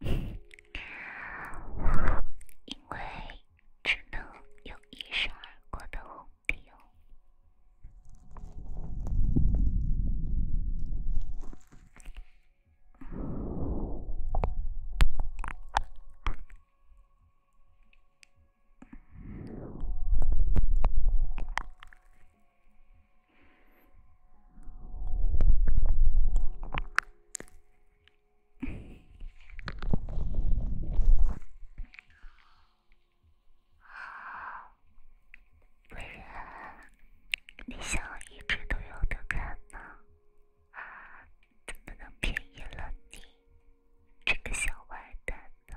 因为只能有一闪而过的红底哦。伟然，你想一直都有得看吗？怎么能便宜了你这个小坏蛋呢？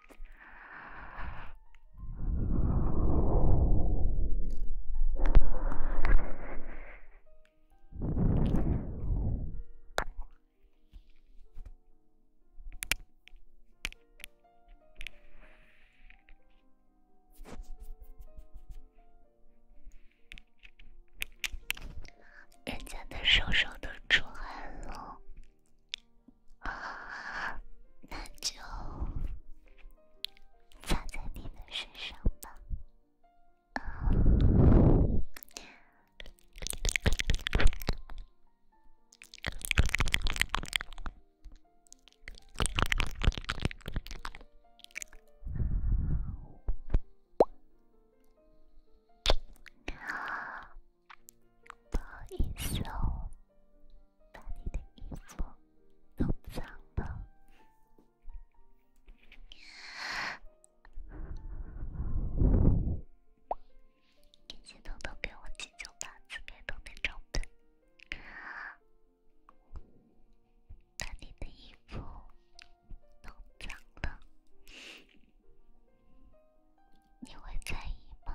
人家的手手都出汗了。啊，那就擦在你们身上吧。啊，不好意思哦。把你的衣服弄脏了，你偷偷给我急救吧，自己弄点装备。把你的衣服弄脏了，你会在意吗？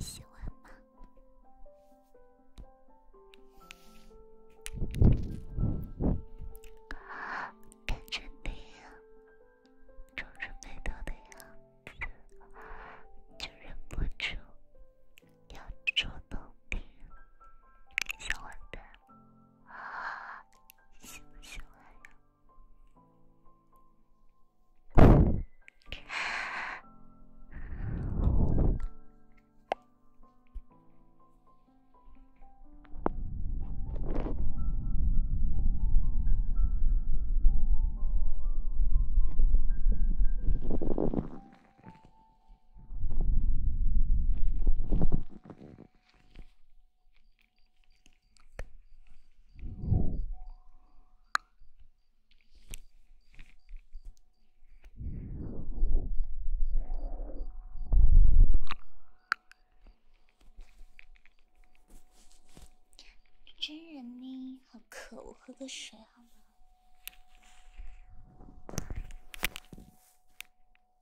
喜欢吗？看着你总是被动的样子，就忍不住要主动点，想玩点。啊，喜欢呀。真人呢？好渴，我喝个水好吗？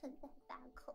存在大口。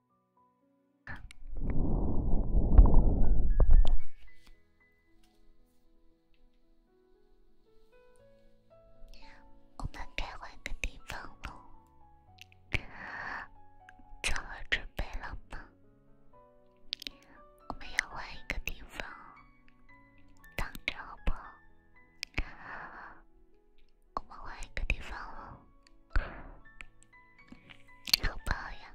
我们该换个地方了，做好准备了吗？我们要换一个地方，等着好不好？我们换一个地方了，好不好呀？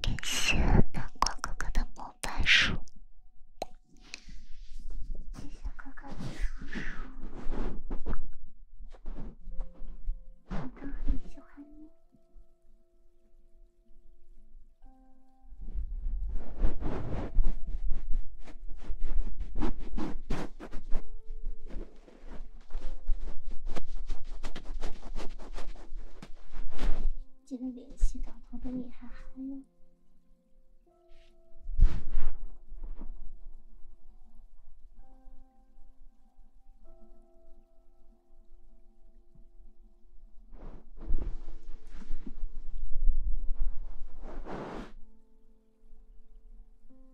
感谢阳光哥哥的摩拜书，谢谢哥哥的书，哥哥很喜欢你。记得联系岛头的你还好吗？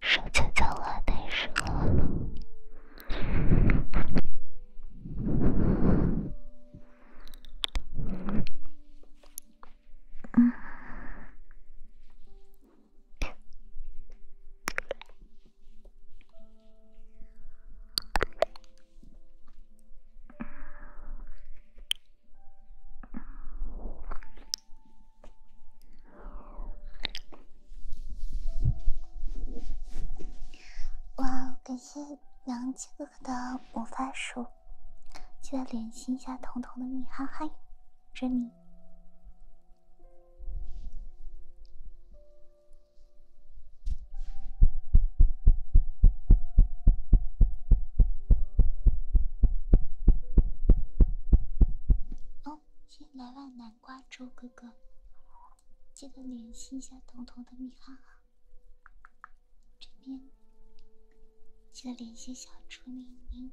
手机叫了，难受。嗯。哇，感谢杨七哥哥的魔法书，记得联系一下彤彤的米哈哈，这里。哦，进来万来。瓜州哥哥，记得联系一下彤彤的米哈啊！这边记得联系小猪咪咪。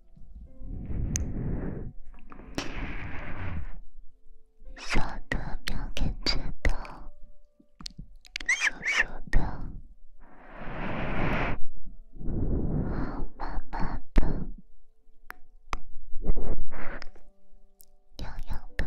小兔苗苗吃的酥酥的，好妈妈的，痒痒的。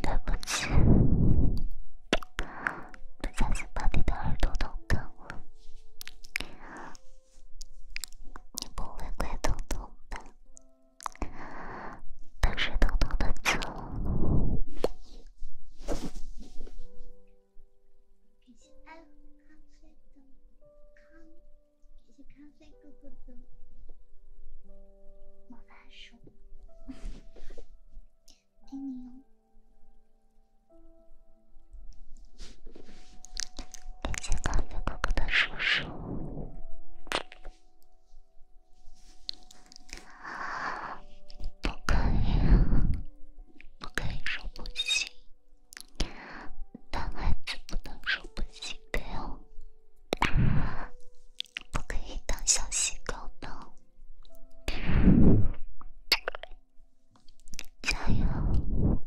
对不起，不小心把你的耳朵弄疼了。你不会怪豆豆吧？但是豆豆的错。感谢爱喝咖啡的康，感谢咖啡哥哥的毛大叔，爱你哦，感谢咖啡哥哥的叔叔。不可以，不可以说不行。男孩子不能说不行的哦。不可以当小细狗的。加油，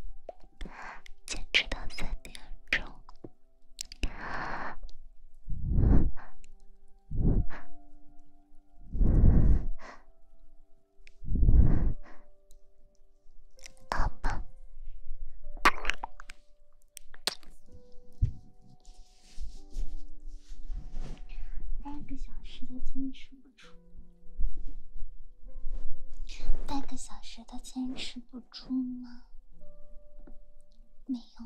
坚持到三点钟。好吧，半个小时都坚持不住，半个小时都坚持不住吗？没有。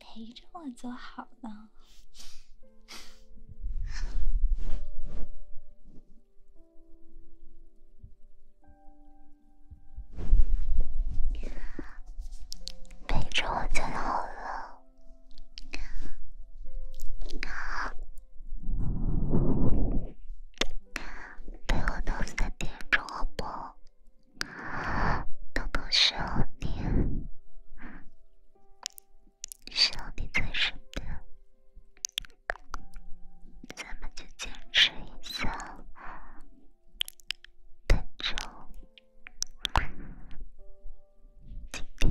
陪着我就好了，陪着我就好了。你陪我到三点钟，好不？都都需要你，需要你在身边，咱们就坚持一下，等着，今天。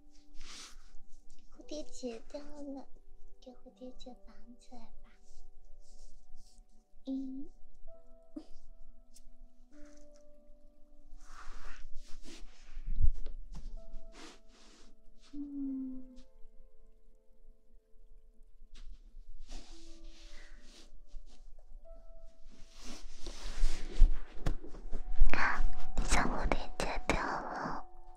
蝴蝶结掉了，给蝴蝶结绑起来吧。嗯，嗯，小蝴蝶结掉了。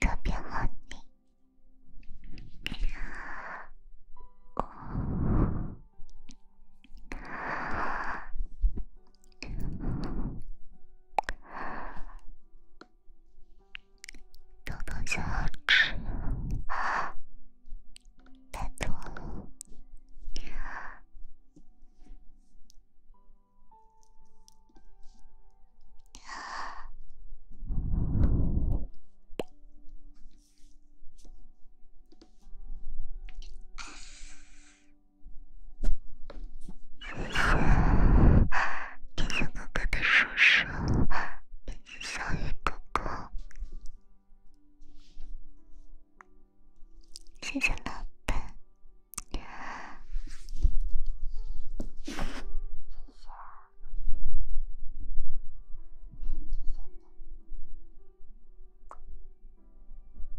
特别好听，豆豆小吃太多了。小雨哥哥的叔叔小雨哥哥，谢谢老板。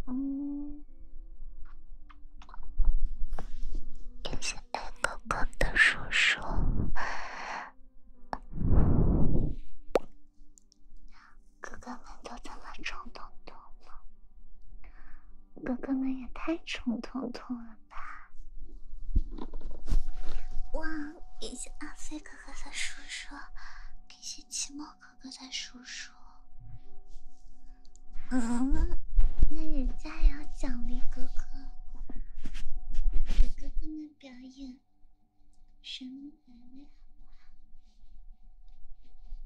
嗯，感谢爱哥哥的叔叔。哥哥们都怎么装豆豆了？哥哥们也太宠彤彤了吧！哇，感谢阿飞哥哥的叔叔，感谢奇末哥哥的叔叔。嗯，那人家也要奖励哥哥，给哥哥们表演神么呀？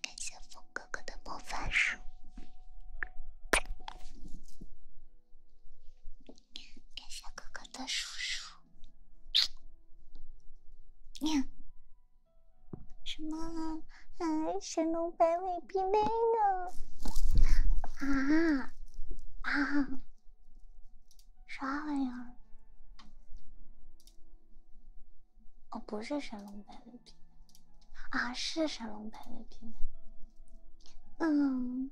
感谢风哥哥的魔法书，感谢哥哥的叔叔。什么？哎，神龙摆尾，冰冰呢？啊啊，啥玩意儿？哦，不是神龙摆尾。啊，是神龙牌的品 n 嗯。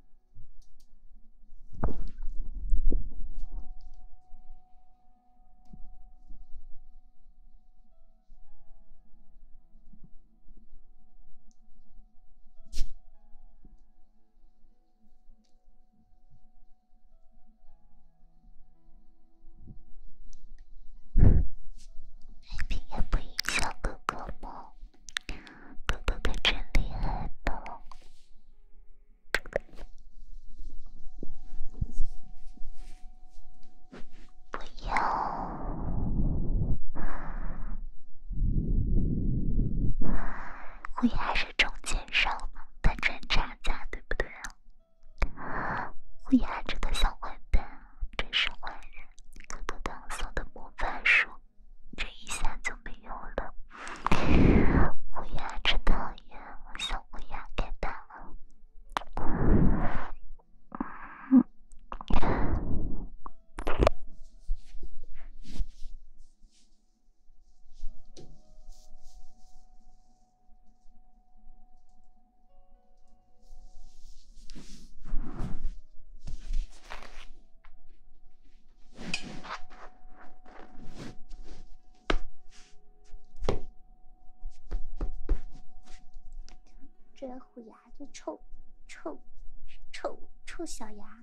哎，不应该哥哥吗？哥哥可真厉害的，不要，估还是中间商在赚差价，对不对啊？乌鸦这个小坏蛋真是坏人，刚刚扫的魔法术，这一下就没有了。乌鸦真讨厌，小乌鸦，给他。这虎牙就臭，臭，臭臭小牙。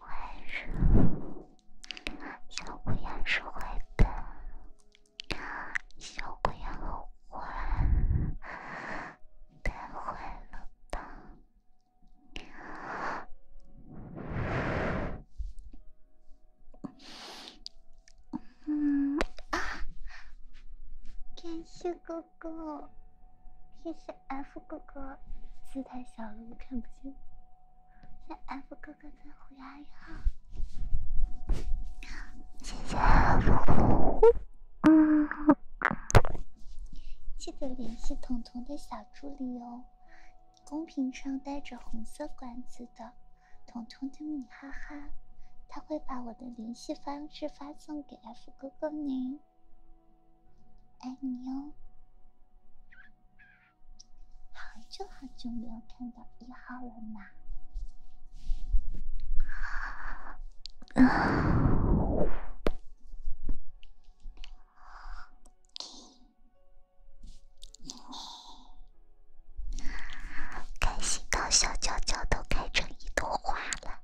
为什小鬼也是坏的？小鬼也坏，太坏了吧？感谢哥哥，谢谢 F 哥哥，字太小了，我看不见。谢 F 哥哥虎牙一号，谢谢 F 嗯，记得联系彤彤的小助理哦。公屏上带着红色管子的彤彤的米哈哈，他会把我的联系方式发送给 F 哥哥你，爱你哦。好久好久没有看到一号了呢。开心到小脚脚都开成一朵花了，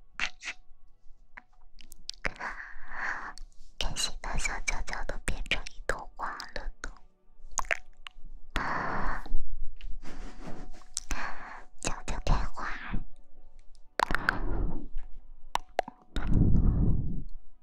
开心到小脚脚都变成一朵花了呢，脚脚开花。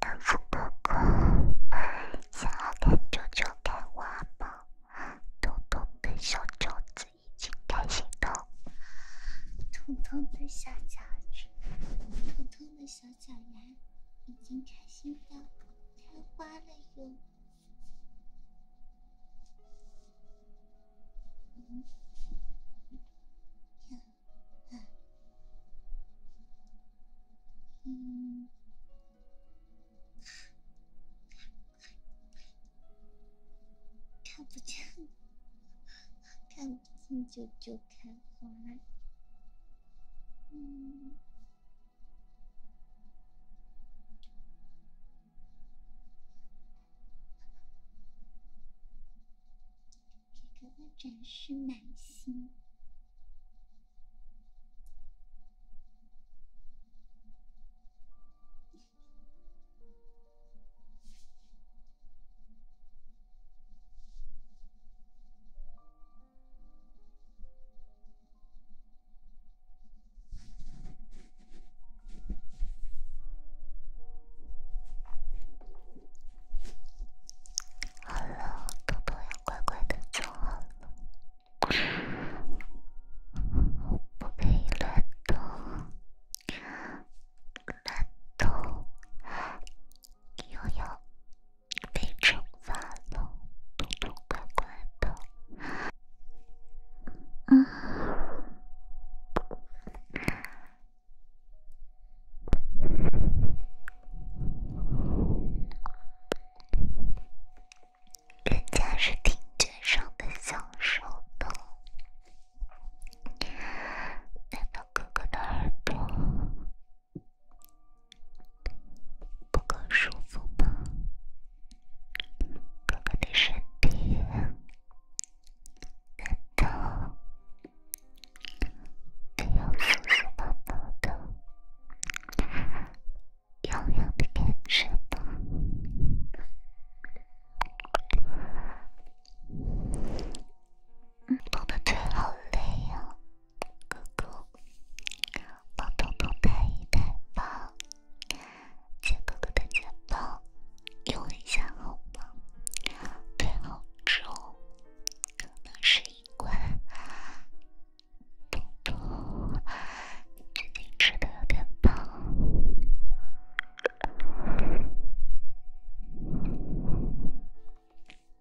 安抚狗狗，想要看舅舅看我吗？彤彤跟小爪子已经开心到，的小脚趾，彤彤的小脚丫已经开心到开花了哟！看不见，看不见舅舅。开花，嗯，给哥哥展示满心。好了，豆豆要乖乖的坐好了，不可以乱动，乱动。悠悠被惩罚了，痛痛乖乖的。嗯，人家是听觉上的享受的，难道哥哥的耳朵？不够舒服吗？哥哥的身体得到你又舒服不到的痒痒的感觉吗？嗯，跑的腿好累呀，哥哥，帮东东带一袋吧。借哥哥的肩膀用一下好吗？腿好重，可能是一罐。东东最近吃的有点胖。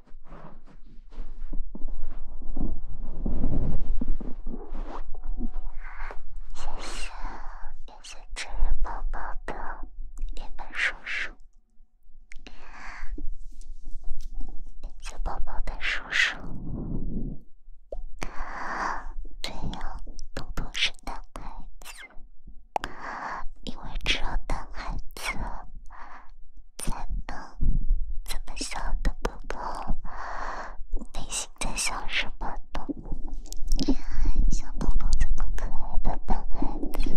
谢谢，谢。月纸宝宝的月月叔叔，月月宝宝的叔叔。对呀，多多是男孩子，因为只有男孩子。在抱，怎么小的宝宝，内心在想什么呢？你还想抱抱这么可爱的男孩子。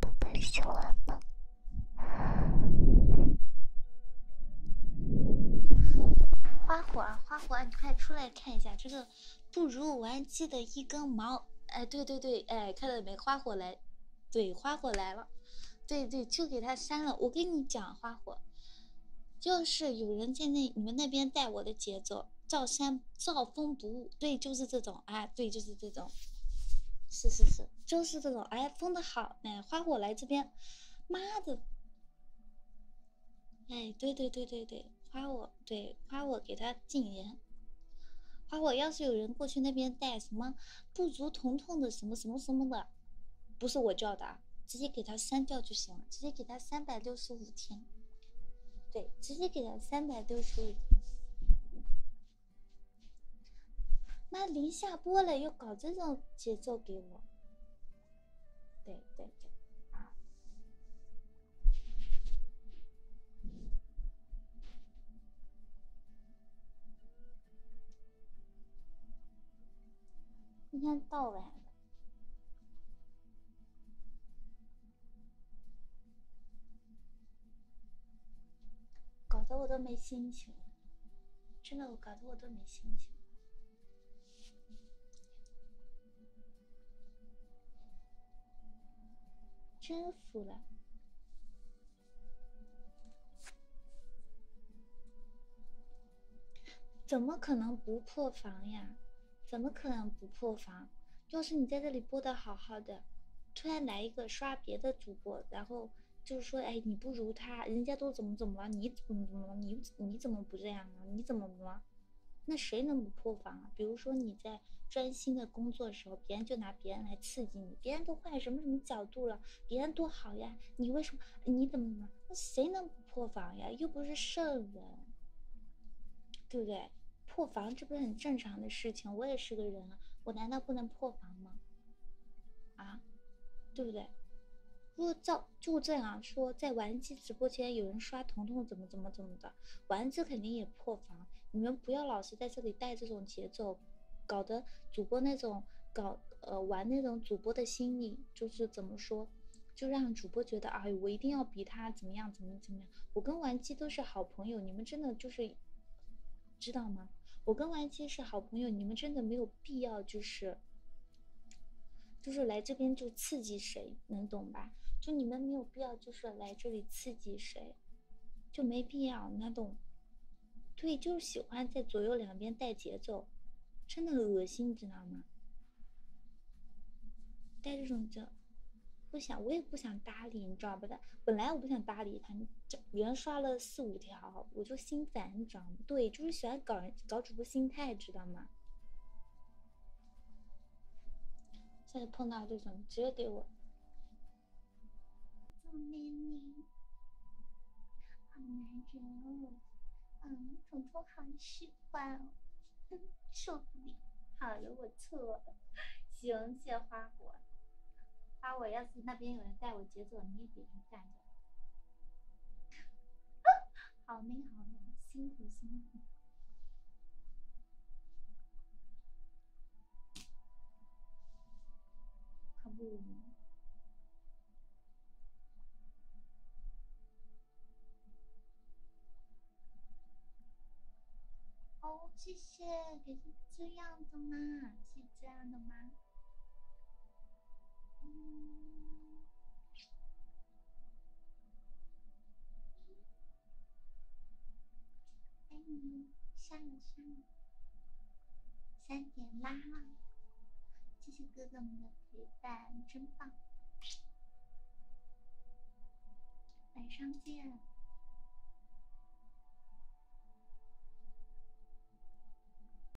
宝贝喜欢吗？花火儿。花火，你快出来看一下这个不如玩鸡的一根毛！哎，对对对，哎，看到没？花火来，对，花火来了，对对，就给他删了。我跟你讲，花火，就是有人在那你们那边带我的节奏，造山造风不误，对，就是这种，哎，对，就是这种，是是是，就是这种，哎，封的好，哎，花火来这边，妈的！哎，对对对对对，夸我，对夸我给他禁言，夸我，要是有人过去那边带什么不足疼痛的什么什么什么的，不是我叫的，直接给他删掉就行了，直接给他三百六十五天，对，直接给他三百六十五。妈，临下播了又搞这种节奏给我。对对对，今天到晚了，搞得我都没心情，真的，我搞得我都没心情。真服了！怎么可能不破防呀？怎么可能不破防？要是你在这里播的好好的，突然来一个刷别的主播，然后就是说，哎，你不如他，人家都怎么怎么了，你怎么怎么了，你？你怎么不这样啊？你怎么呢？那谁能不破防啊？比如说你在专心的工作的时候，别人就拿别人来刺激你，别人都换什么什么角度了，别人多好呀，你为什么？你怎么怎么？那谁能不破防呀？又不是圣人，对不对？破防这不是很正常的事情？我也是个人，啊，我难道不能破防吗？啊，对不对？如果照就这样说，在玩机直播间有人刷彤彤，怎么怎么怎么的，丸子肯定也破防。你们不要老是在这里带这种节奏，搞得主播那种搞呃玩那种主播的心理就是怎么说，就让主播觉得啊，我一定要比他怎么样，怎么怎么样。我跟丸机都是好朋友，你们真的就是知道吗？我跟丸机是好朋友，你们真的没有必要就是。就是来这边就刺激谁，能懂吧？就你们没有必要，就是来这里刺激谁，就没必要那种。对，就是喜欢在左右两边带节奏，真的恶心，你知道吗？带这种就不想，我也不想搭理，你知道吧？他本来我不想搭理他，这连刷了四五条，我就。心烦，你知道吗？对，就是喜欢搞人、搞主播心态，知道吗？下次碰到这种，直接给我。好难缠哦，嗯，彤彤好喜欢哦，受不了。好了，我错了，行，谢花果，花果，要是那边有人带我节奏，你也别干。好累好累，辛苦辛苦。可不。哦，谢谢，给是这样的吗？是这样的吗？爱你，上了上了，三点啦！谢谢哥哥们的陪伴，真棒！晚上见。